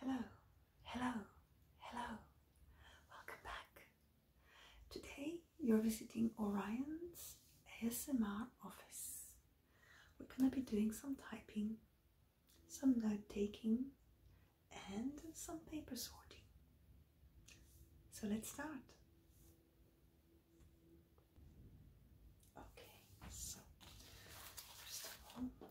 Hello, hello, hello. Welcome back. Today you're visiting Orion's ASMR office. We're going to be doing some typing, some note taking, and some paper sorting. So let's start. Okay, so first of all,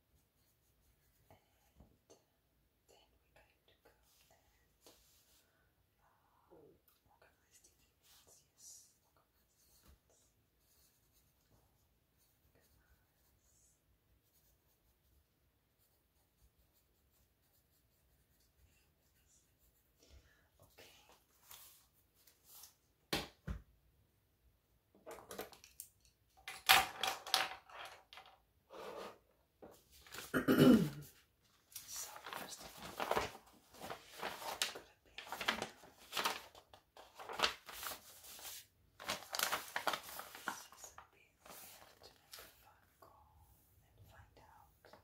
And then we're going to go and uh, organize the emails. Yes, organize the emails. Okay so first of all, Today, which is that, that, that, that, that, that, that, that, that,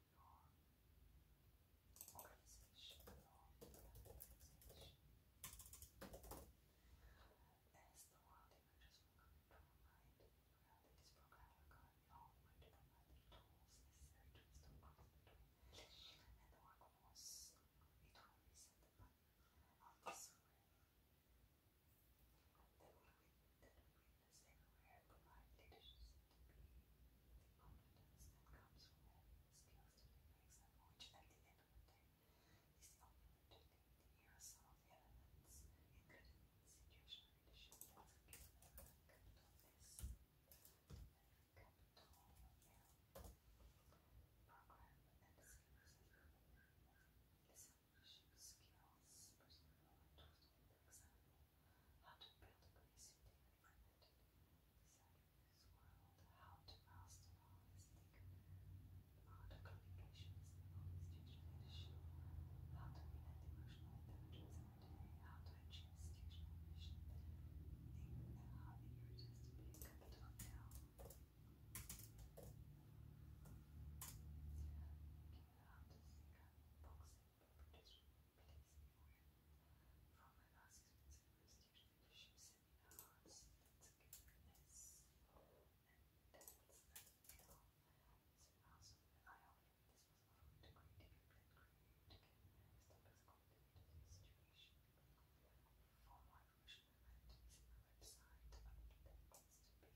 organization as the world emerges from computer mind, realities program economy all the way to provide the tools necessary to install between and the workforce. It will reset the of the that we, that we witness everywhere provide leadership Confidence that comes from having the skills to make something which the end of the day the opportunity to some of the elements, ingredients, situational leadership, that's a given capital S, capital L, program and skills, discipleship skills, personal knowledge, for example, how to build a place this world, how to master all this art of communications, all these digital how to relate emotional intelligence how to achieve institutional ambition, how the year just to be a capital now. Give it out to boxing, produce from my last experience at university, leadership seminars, togetherness, and that's you know, also, I already this was a great degree, great stop as a situation. For more information, I went to visit my website under the building.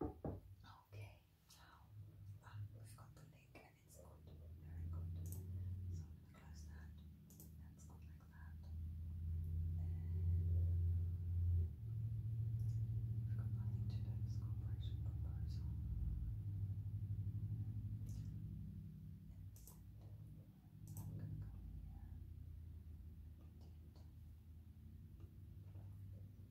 Okay, now um, we've got the link and it's good. Very good. So I'm going to close that. That's good like that. we've got nothing to do with I'm going to go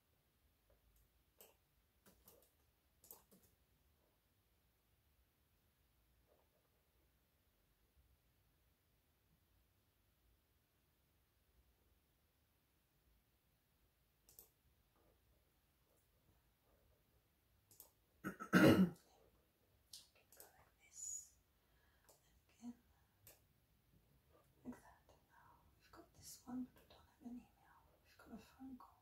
I can go like this. And again, like that. now we've got this one, but we don't have an email. We've got a phone call.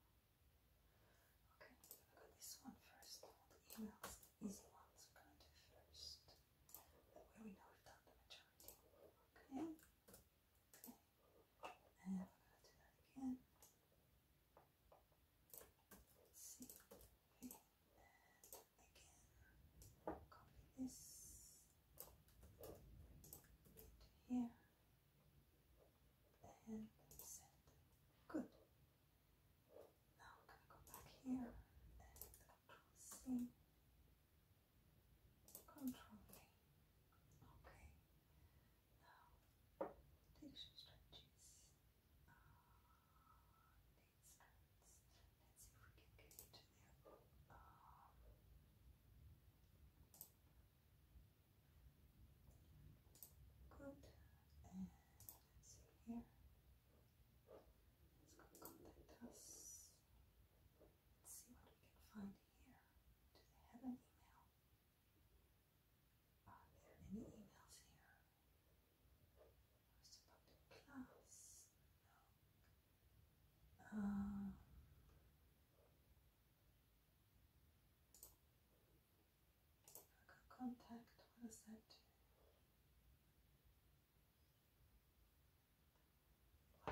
Okay, we've got this one first. the emails, the easy ones, we're going to do first. That way we know we've done the majority. Okay? And we're going to do that again. Let's And again. Copy this here and Good. Now I'm gonna go back here and control C. Control V. Okay. Now tissue stretches. Let's see if we can get it. Good. And let's see here. Let's uh, go contact us. Let's see what we can find here. Do they have an email? Are there any emails here? Just uh, about the class. Uh, contact, what that let's do that.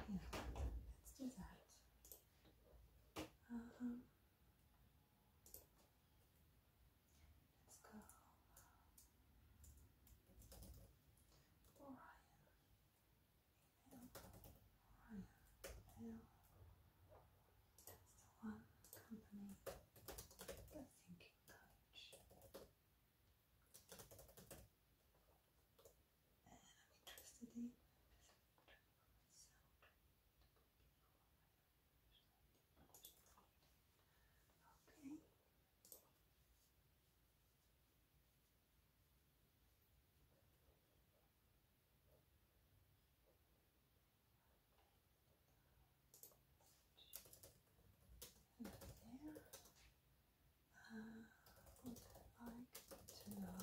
Um, let's go. Orion. Orion Hill. That's the one company The Thinking Coach. And I'm interested in Okay. Uh, would like to know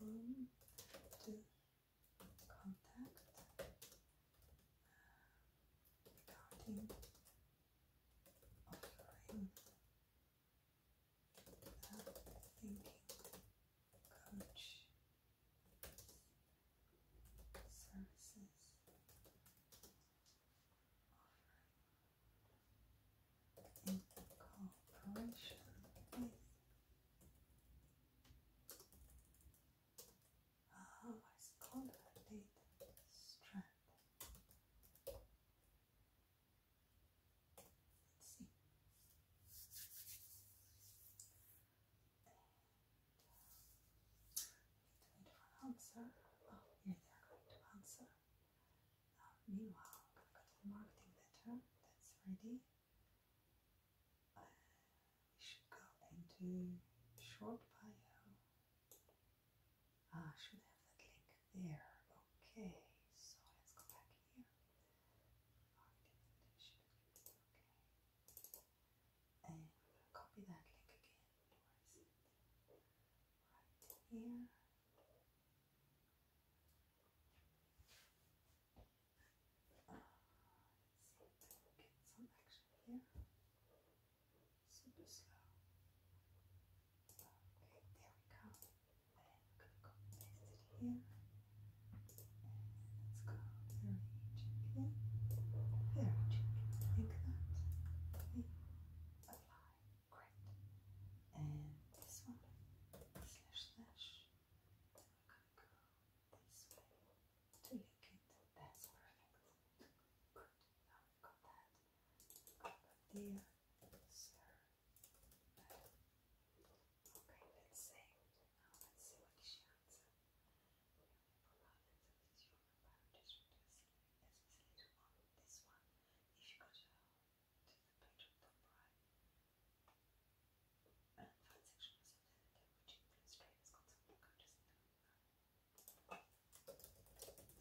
whom to contact uh, regarding offering that thinking coach services offered in with Ah, uh, strength Let's see. And, answer. Oh, yeah, they are going to answer. meanwhile, I'm going to go to the marketing letter that's ready. we should go into short bio. Ah, I should have that link there. Okay, so let's go back here. Ah, and copy that link again. Right here. Ah, let's get some action here. Super slow. Okay, there we go. Then i let's go very gently, very gently, like that. Apply. Great. And this one, slash, slash. we're going to go this way to lick it. That's perfect. Good. Now we've got that. We've there okay, let's see. Now oh, let's see what she answered. This one, if you go to, the page of the bride, and the third section is which illustrates concept of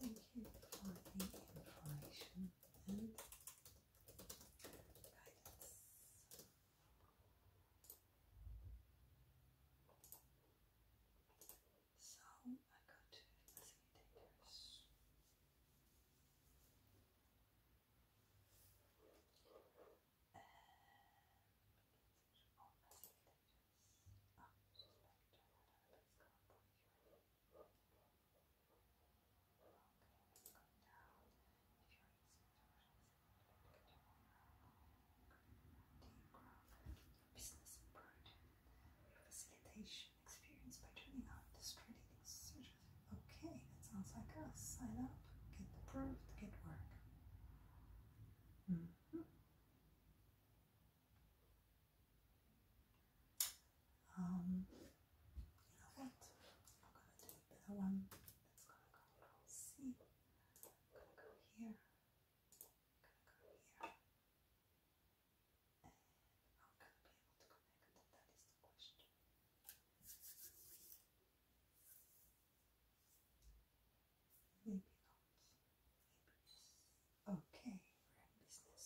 Thank you for the information and guidance. So I go to facilitators. And all facilitators. Oh, so back to another place called business improved facilitation experience by turning on trading searches. Okay, that sounds like us. Sign up, get the proof. get work. -hmm. Um, you I'm gonna do a one. That's gonna go. see. I'm gonna go here. I'm gonna go here. And I'm gonna be able to connect. That is the question. Maybe not. Maybe Okay, business.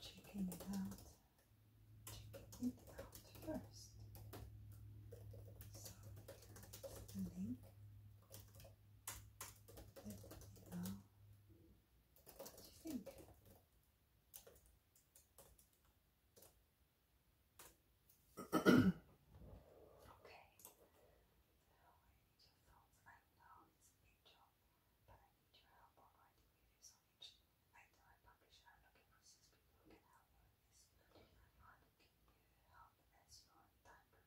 checking it out, checking it out first. So the link. Let me you think. okay but I need your help on writing reviews on YouTube. Until I publish, I'm looking for six people who can help with this. I'm looking for help as your time permits.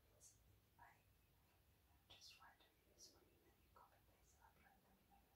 I just write reviews for you, then you copy paste and upload them in your thoughts.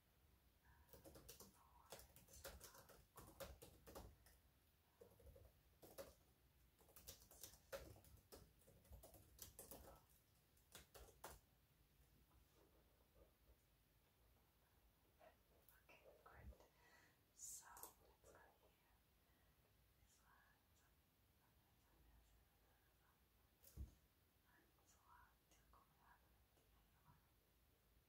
So let's go here. This one, it's a lot to go out with the other one.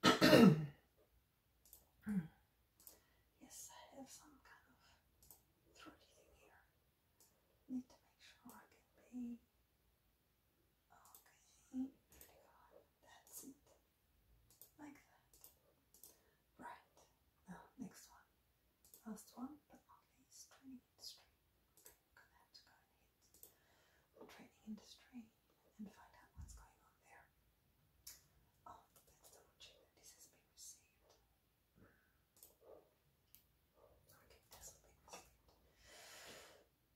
yes, I have some kind of throaty thing here. Need to make sure I can be Okay, that's it. Like that. Right, now next one. Last one, but only is training industry. Okay, we gonna have to go and hit training industry and find out what's going on there. Oh, let's double this has been received. Okay, it has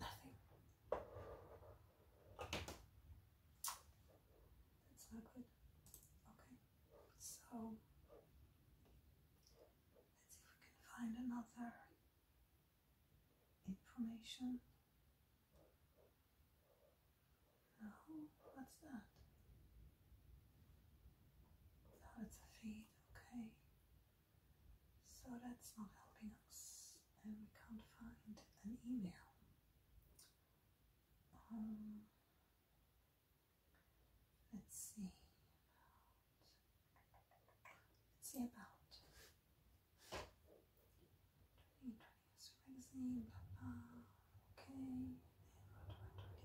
Nothing. That's not good. Okay, so let's see if we can find another information. No, what's that? No, it's a feed. Okay, so that's not helping us, and we can't find an email. Um, let's see Let's see about. 2020 magazine, Okay, then what about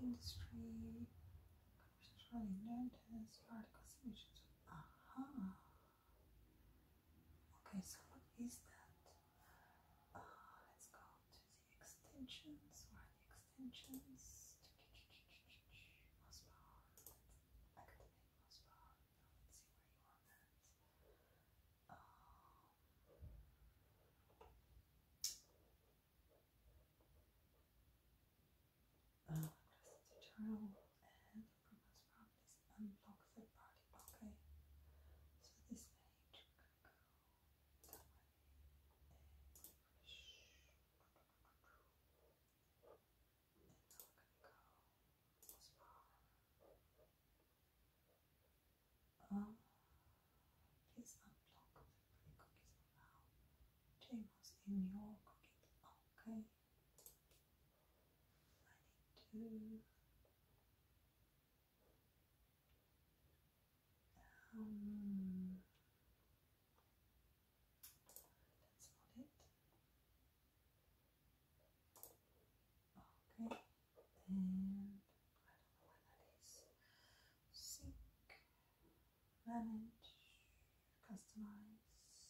industry? Charlie learned his particle solutions. Aha! Okay, so what is that? Ah, let's go to the extensions. Where are the extensions? Mouse power. Activate mouse power. Now let's see where you want that. Ah. Uh, address tutorial and promotes properties and blocks third party blocking. So this page go that way and and now we're going go uh, please unblock the cookies James in your pocket. Okay. I um, that's not it. Okay. And I don't know where that is. Sink manage, customize,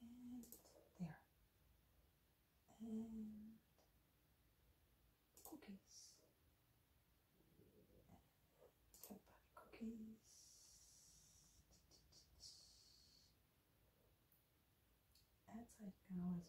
and there, and cookies, and cookies. That's how you cookies.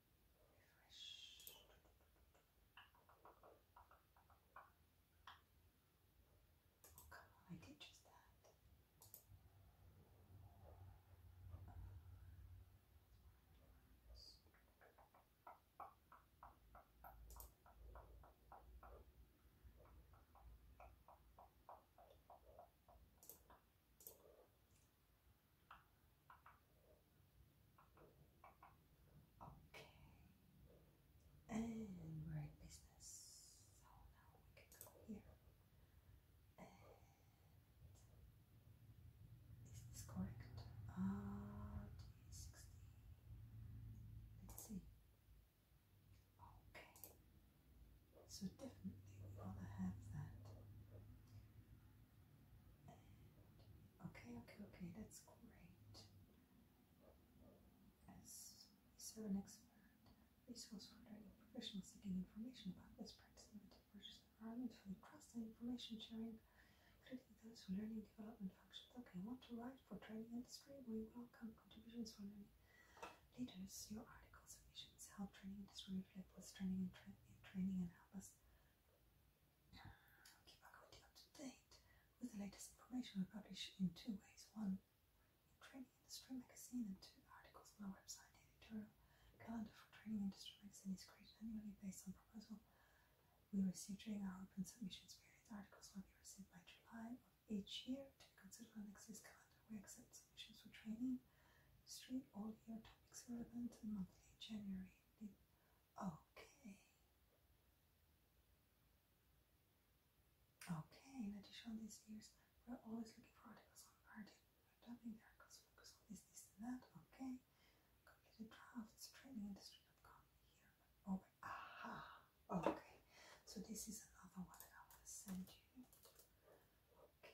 Refresh. Oh, come on, I did just that. Okay. And we business. So now we can go here. this correct? Ah, Let's see. Okay. So definitely we want to have that. okay, okay, okay, that's great. As so an expert, resource for training professionals seeking information about this practice in the purchase environment for the trust and information sharing, including those for learning development functions. Okay, I want to write for training industry. We welcome contributions from leaders. Your article submissions help training industry inflict was training and tra in training and help us keep up to date with the latest information we publish in two ways. One, in Training Industry Magazine and two articles on our website. The editorial calendar for Training Industry Magazine is created annually based on proposal we receive during our open submissions period. Articles will be received by July of each year to be considered on next year's calendar. We accept submissions for training Street year topics relevant to monthly January. Okay. Okay, in addition, to these years we're always looking for articles on art. We're dubbing the articles, focus on this, this, and that. Okay. Completed drafts, trainingindustry.com. Here, over. Oh, aha. Okay. So this is another one that I want to send you. Okay.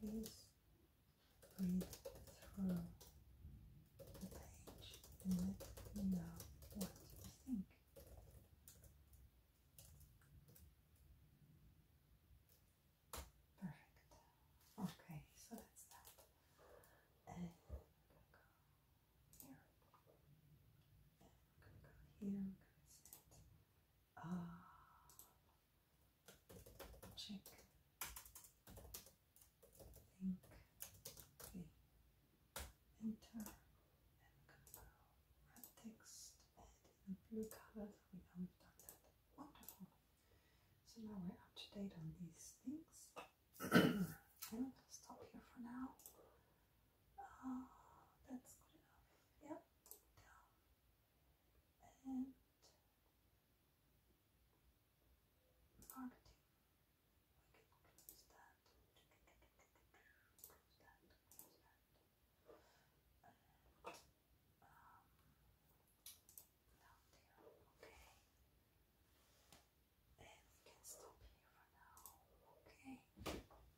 Please breathe through the page and let me know what you think. Perfect. Okay, so that's that. And i go here. And go here. I'm Ah, check, okay, enter, and we red text and blue color, we know we done that, wonderful. So now we're up to date on these things. I'm gonna stop here for now. Ah, that's good enough. Yep, and marketing. We can close that. Close that. Close that. okay. And we can stop here for now, okay.